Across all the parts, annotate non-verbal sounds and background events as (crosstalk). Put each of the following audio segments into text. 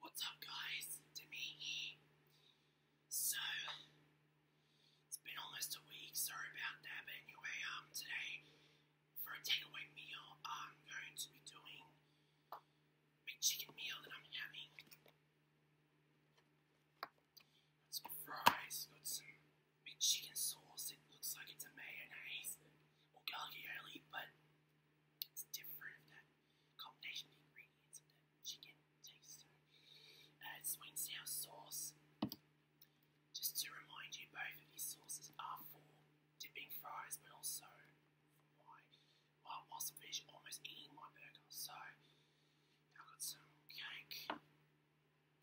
What's up guys, Demi here. So, it's been almost a week, sorry about that, but anyway, um, today, for a takeaway meal, I'm going to be doing a chicken meal that I'm having. Got some fries, got some chicken sauce, it looks like it's a mayonnaise, or garlic but it's different of that combination of ingredients of the chicken taste. So, uh, sweet and sour sauce. Just to remind you, both of these sauces are for dipping fries, but also for my well, whilst almost eating my burger. So, I've got some cake.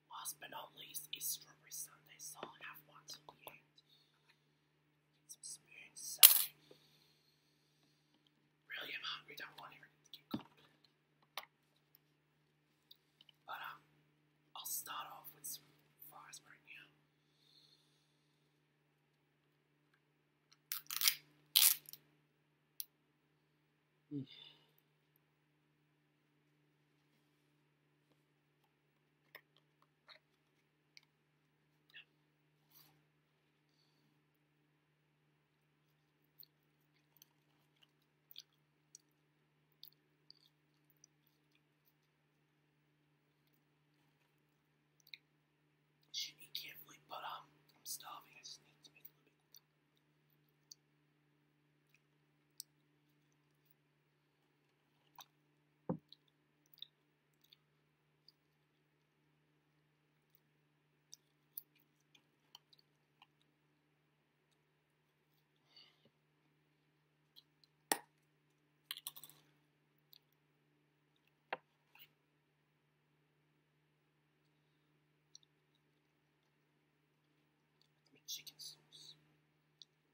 Last but not least is strawberry sundae, so I'll have one till the Really, I'm hungry. Don't want everything to get cold. But um, I'll start off with some fries should be carefully, but um, I'm starving. I just need to make a little bit chicken sauce.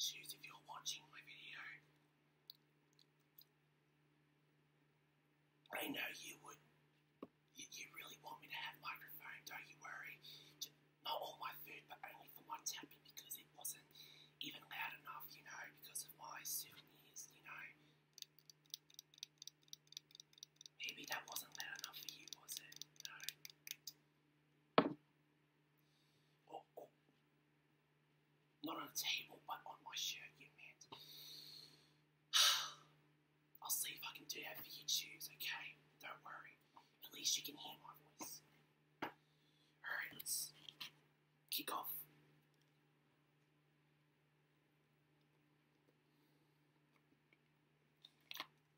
Choose if you're watching my video. I know you would. You, really want me to have microphone, don't you worry. Not all my food, but only for my tapping because it wasn't even loud enough, you know, because of my souvenirs, you know. Maybe that wasn't loud enough for you, was it? No. Oh, Not on the table, but on my shirt, yeah, man. (sighs) I'll see if I can do that for you too, okay? Don't worry. At least you can hear my voice. Alright, let's kick off.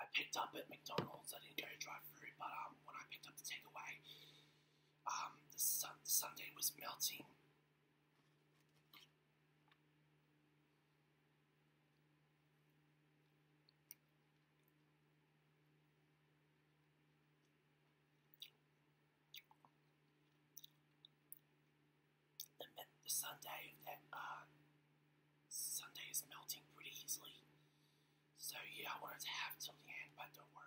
I picked up at McDonald's. I didn't go drive through, but um, when I picked up the takeaway, um, the sun the Sunday was melting. The, the that uh, sundae is melting pretty easily, so yeah, I wanted to have till the end, but don't worry.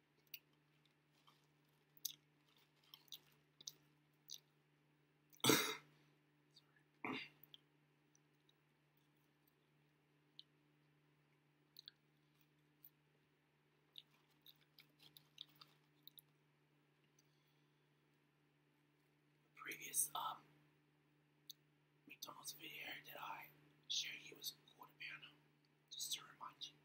previous um McDonald's video that I showed you was called a banner, just to remind you.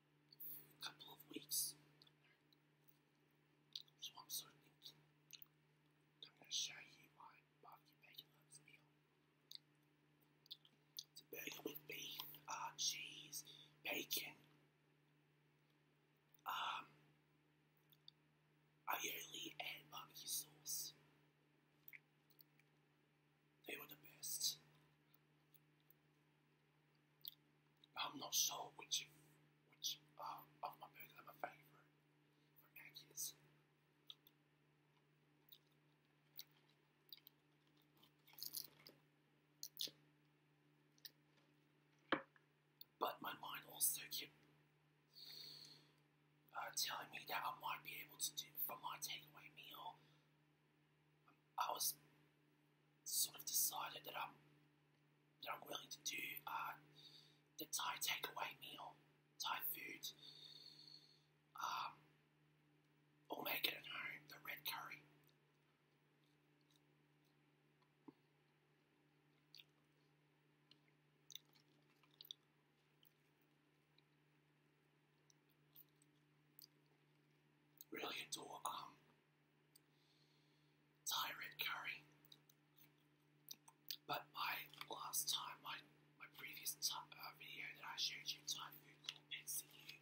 couple of weeks. So I'm sort of thinking I'm going to show you my barbecue bacon meal. It's a burger with beef, uh, cheese, bacon. Um, aioli and barbecue sauce. They were the best. I'm not sure which which uh, of my burgers are my favorite for Mackey's. But my mind also kept uh, telling me that I might be able to do from my takeaway meal I was sort of decided that I'm that I'm willing to do a uh, Thai takeaway meal, Thai food. Um, or make it at home, the red curry. Really adore um Tired curry. But my last time, my my previous uh, video that I showed you time food called PCU.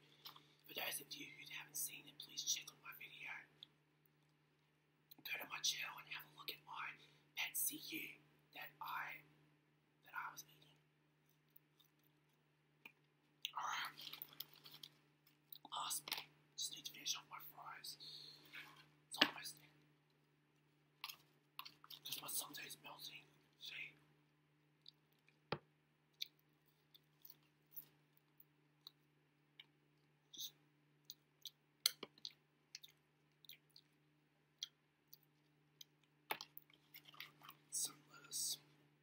For those of you who haven't seen it, please check on my video. Go to my channel and have a look at my pet CU that I that I was eating. Alright. Last Just need to finish off my fries. It's almost there. Because my sundae's melting. See? Just some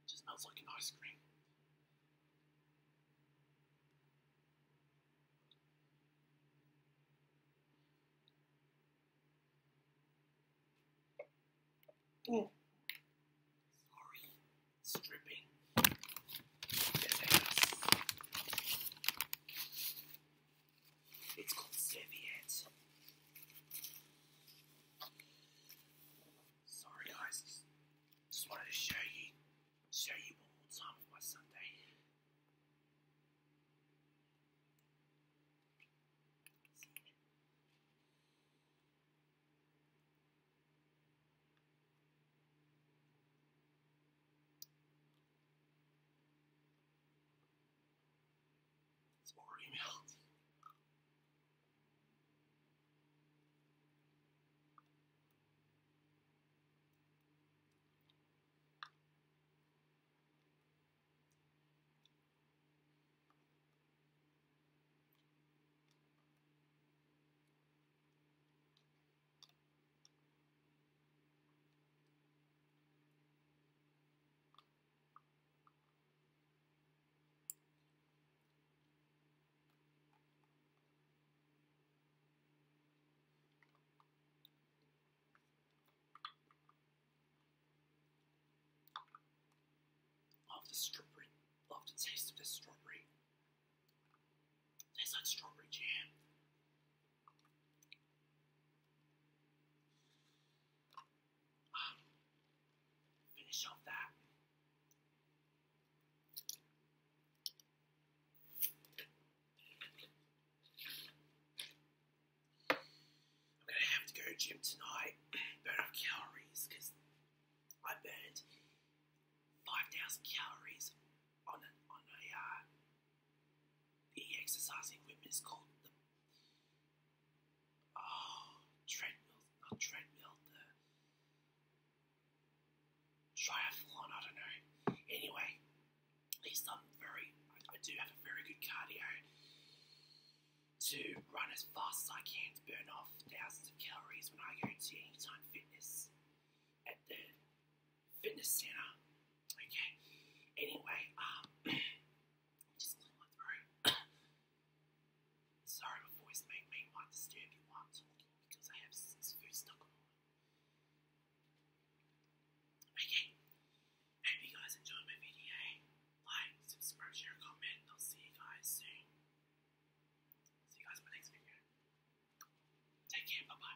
It just smells like an ice cream. Oh. Sorry, stripping. It's called Serviette. Sorry guys, just wanted to show you, show you one more time of my Sunday. It's already melted. Love the strawberry. Love the taste of this strawberry. Tastes like strawberry jam finish off that. I'm gonna have to go to gym tonight, burn off calories, I burned 5,000 calories on a, on a uh, the exercising equipment is called the oh treadmill, not treadmill, the triathlon. I don't know. Anyway, he's done very. I, do have a very good cardio to run as fast as I can to burn off thousands of calories when I go to Anytime Fitness at the fitness center Okay. Anyway, um, (clears throat) just clean my (coughs) Sorry, my voice may may might disturb you while talking because I have food stuck on. Okay. Hope you guys enjoyed my video. Like, subscribe, share, comment, I'll see you guys soon. See you guys in my next video. Take care, bye bye.